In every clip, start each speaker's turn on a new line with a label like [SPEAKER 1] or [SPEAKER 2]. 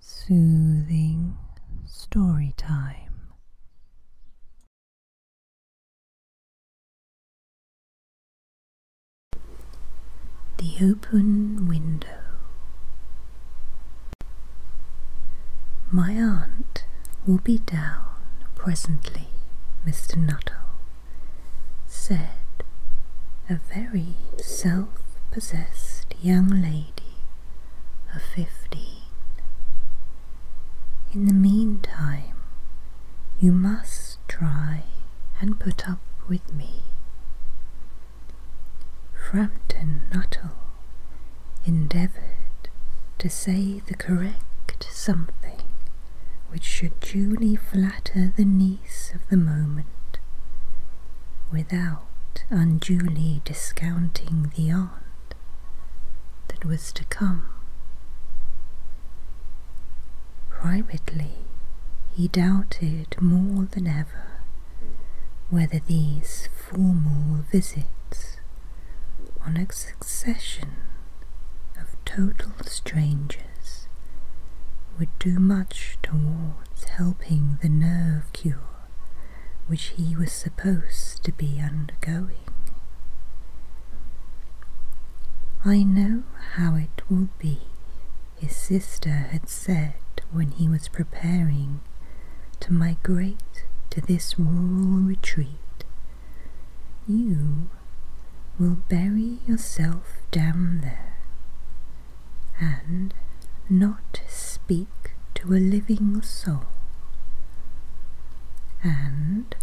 [SPEAKER 1] Soothing story time. The open window. My aunt will be down presently, Mr. Nuttall said a very self self-possessed young lady of fifteen. In the meantime, you must try and put up with me. Framton Nuttall endeavoured to say the correct something which should duly flatter the of the moment without unduly discounting the aunt that was to come. Privately, he doubted more than ever whether these formal visits on a succession of total strangers would do much to toward towards helping the nerve cure which he was supposed to be undergoing. I know how it will be, his sister had said when he was preparing to migrate to this rural retreat. You will bury yourself down there and not speak to a living soul, and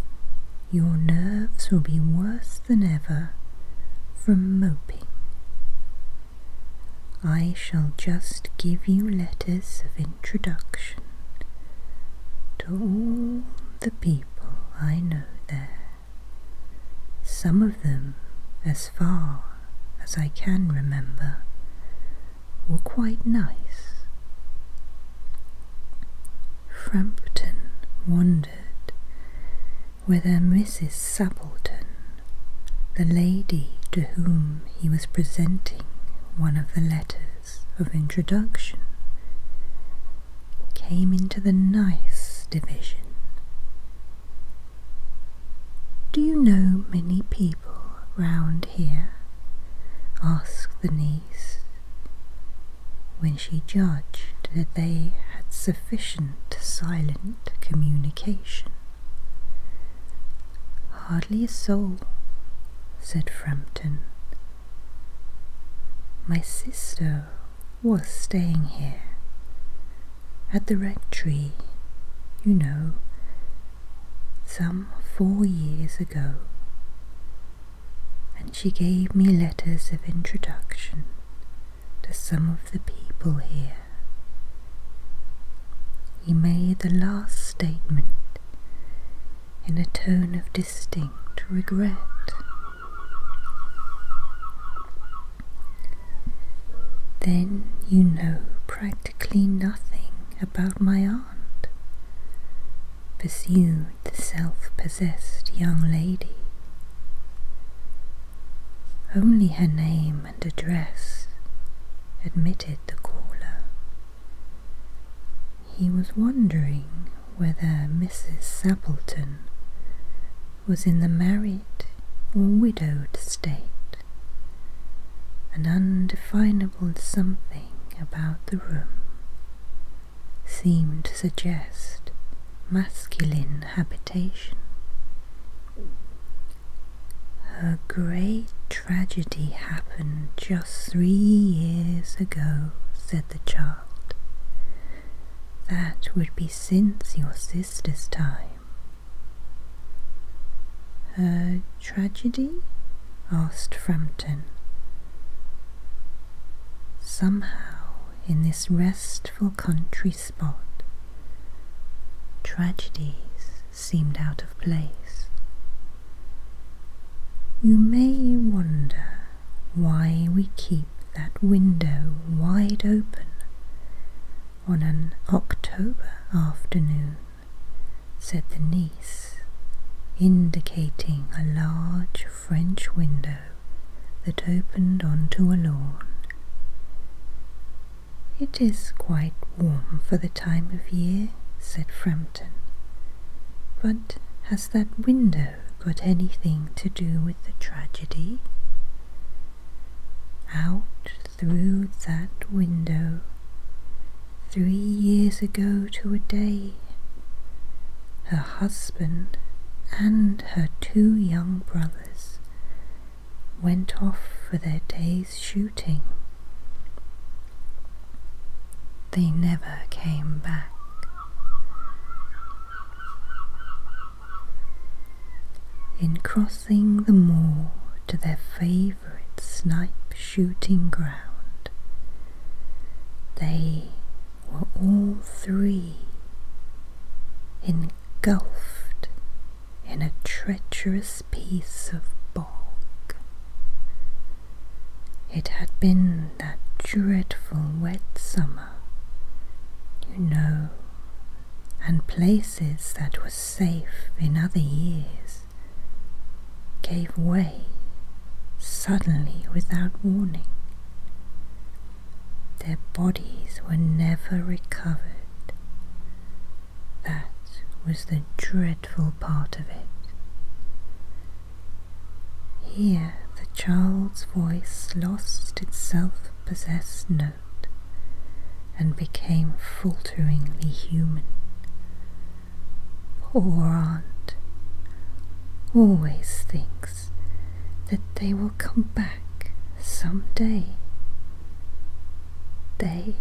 [SPEAKER 1] your nerves will be worse than ever from moping. I shall just give you letters of introduction to all the people I know there some of them, as far as I can remember, were quite nice. Frampton wondered whether Mrs. Sappleton, the lady to whom he was presenting one of the letters of introduction, came into the nice division do you know many people round here? asked the niece, when she judged that they had sufficient silent communication. Hardly a soul, said Frampton. My sister was staying here at the rectory, you know, some four years ago, and she gave me letters of introduction to some of the people here. He made the last statement in a tone of distinct regret. Then you know practically nothing about my aunt, pursued the self-possessed young lady. Only her name and address admitted the caller. He was wondering whether Mrs. Sappleton was in the married or widowed state, an undefinable something about the room seemed to suggest masculine habitation. Her great tragedy happened just three years ago, said the child, that would be since your sister's time. Her tragedy? asked Frampton. Somehow, in this restful country spot, tragedies seemed out of place. You may wonder why we keep that window wide open on an October afternoon, said the niece, indicating a large French window that opened onto a lawn. It is quite warm for the time of year, said Frampton, but has that window got anything to do with the tragedy. Out through that window, three years ago to a day, her husband and her two young brothers went off for their day's shooting. They never came back. In crossing the moor to their favourite snipe shooting ground, they were all three engulfed in a treacherous piece of bog. It had been that dreadful wet summer, you know, and places that were safe in other years gave way suddenly without warning. Their bodies were never recovered. That was the dreadful part of it. Here the child's voice lost its self possessed note and became falteringly human. Poor aunt always thinks that they will come back some day. They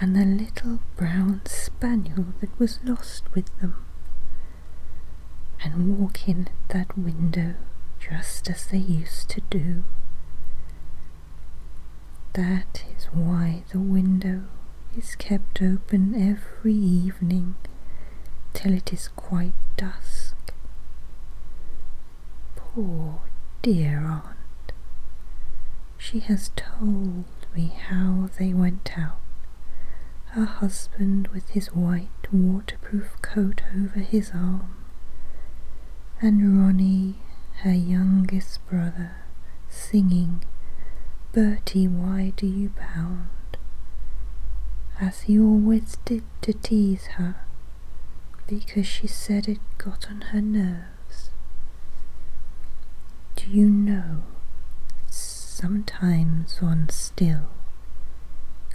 [SPEAKER 1] and the little brown spaniel that was lost with them and walk in that window just as they used to do. That is why the window is kept open every evening till it is quite dusk. Poor dear aunt, she has told told me how they went out. Her husband with his white waterproof coat over his arm, and Ronnie, her youngest brother, singing, Bertie, why do you pound?" As he always did to tease her, because she said it got on her nerves. Do you know, sometimes on still,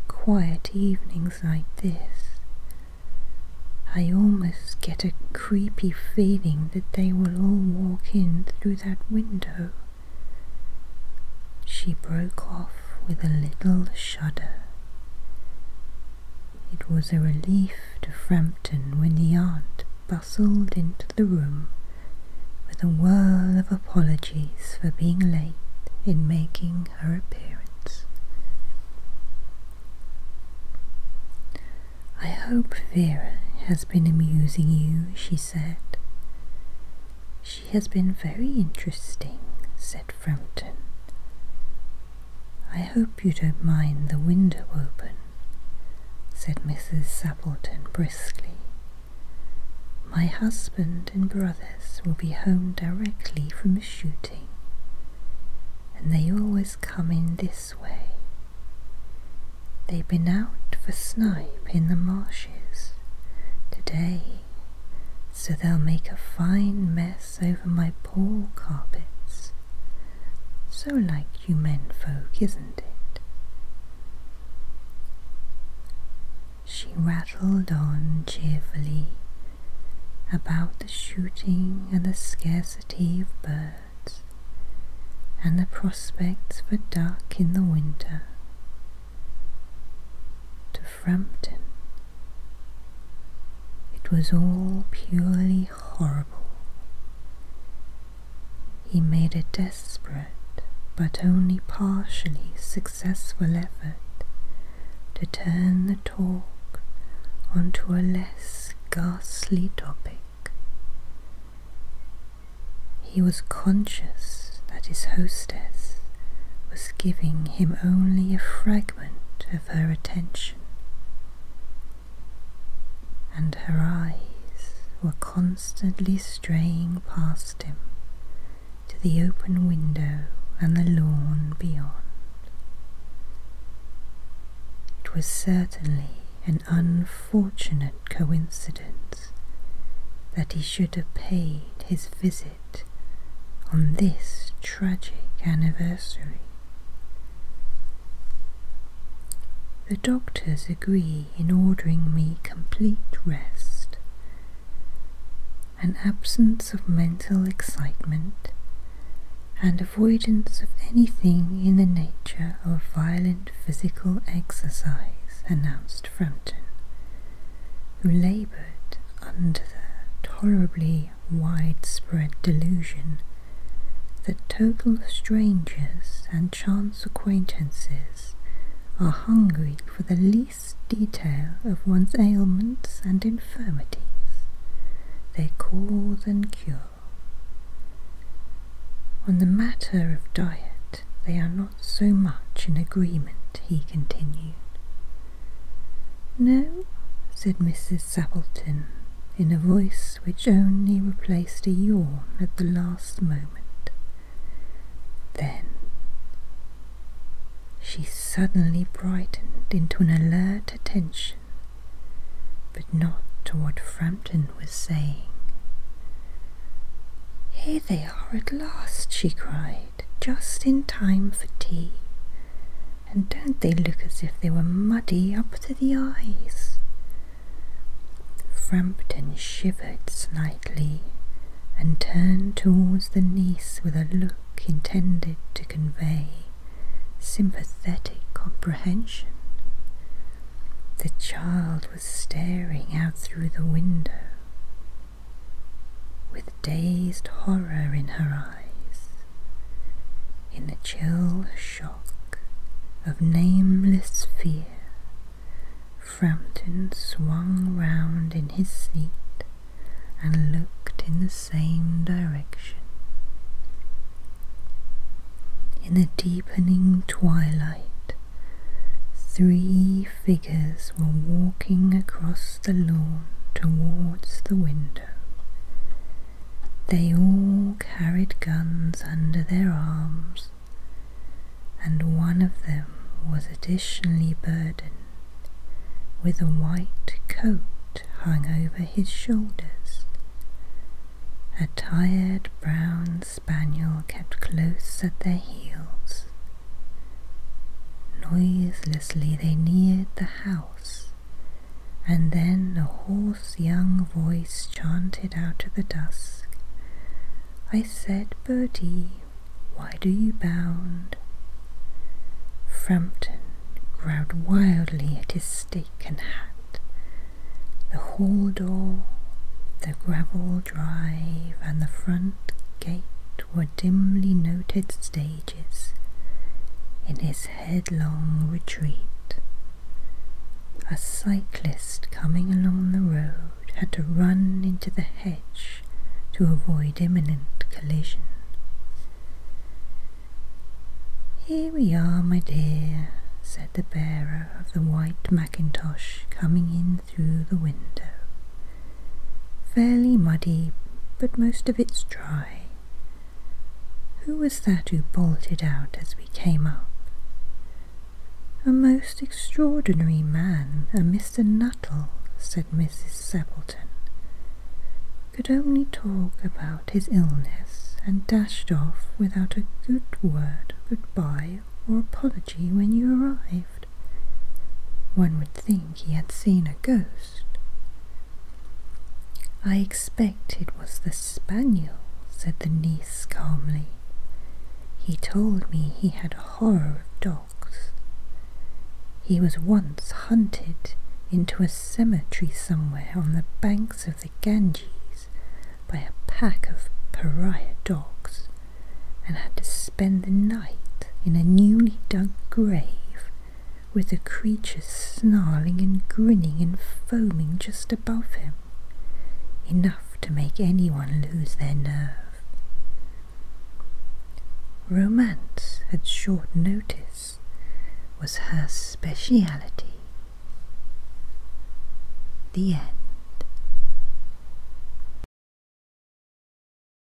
[SPEAKER 1] quiet evenings like this, I almost get a creepy feeling that they will all walk in through that window. She broke off with a little shudder. It was a relief to Frampton when the aunt bustled into the room with a whirl of apologies for being late in making her appearance. I hope Vera has been amusing you, she said. She has been very interesting, said Frampton. I hope you don't mind the window open said Mrs. Sappleton briskly. My husband and brothers will be home directly from a shooting, and they always come in this way. They've been out for snipe in the marshes today, so they'll make a fine mess over my poor carpets so like you men folk, isn't it? She rattled on cheerfully about the shooting and the scarcity of birds and the prospects for duck in the winter. To Frampton, it was all purely horrible, he made a desperate but only partially successful effort to turn the talk onto a less ghastly topic. He was conscious that his hostess was giving him only a fragment of her attention and her eyes were constantly straying past him to the open window and the lawn beyond. It was certainly an unfortunate coincidence that he should have paid his visit on this tragic anniversary. The doctors agree in ordering me complete rest, an absence of mental excitement, and avoidance of anything in the nature of violent physical exercise, announced Frampton, who laboured under the tolerably widespread delusion that total strangers and chance acquaintances are hungry for the least detail of one's ailments and infirmities, they cause and cure. On the matter of diet, they are not so much in agreement, he continued. No, said Mrs. Sappleton, in a voice which only replaced a yawn at the last moment. Then she suddenly brightened into an alert attention, but not to what Frampton was saying. Here they are at last, she cried, just in time for tea and don't they look as if they were muddy up to the eyes? Frampton shivered slightly and turned towards the niece with a look intended to convey sympathetic comprehension. The child was staring out through the window with dazed horror in her eyes in the chill shock of nameless fear. Frampton swung round in his seat and looked in the same direction. In the deepening twilight, three figures were walking across the lawn towards the window. They all carried guns under their arms, and one of them was additionally burdened with a white coat hung over his shoulders. A tired brown spaniel kept close at their heels. Noiselessly they neared the house and then a hoarse young voice chanted out of the dusk. I said, Bertie, why do you bound? Frampton growled wildly at his stick and hat. The hall door, the gravel drive, and the front gate were dimly noted stages in his headlong retreat. A cyclist coming along the road had to run into the hedge to avoid imminent collision. Here we are, my dear, said the bearer of the white mackintosh coming in through the window. Fairly muddy, but most of it's dry. Who was that who bolted out as we came up? A most extraordinary man, a Mr. Nuttall, said Mrs. Seppleton. Could only talk about his illness and dashed off without a good word, good bye, or apology when you arrived. One would think he had seen a ghost. I expect it was the spaniel, said the niece calmly. He told me he had a horror of dogs. He was once hunted into a cemetery somewhere on the banks of the Ganges by a pack of pariah dogs and had to spend the night in a newly dug grave with the creatures snarling and grinning and foaming just above him, enough to make anyone lose their nerve. Romance at short notice was her speciality. The end.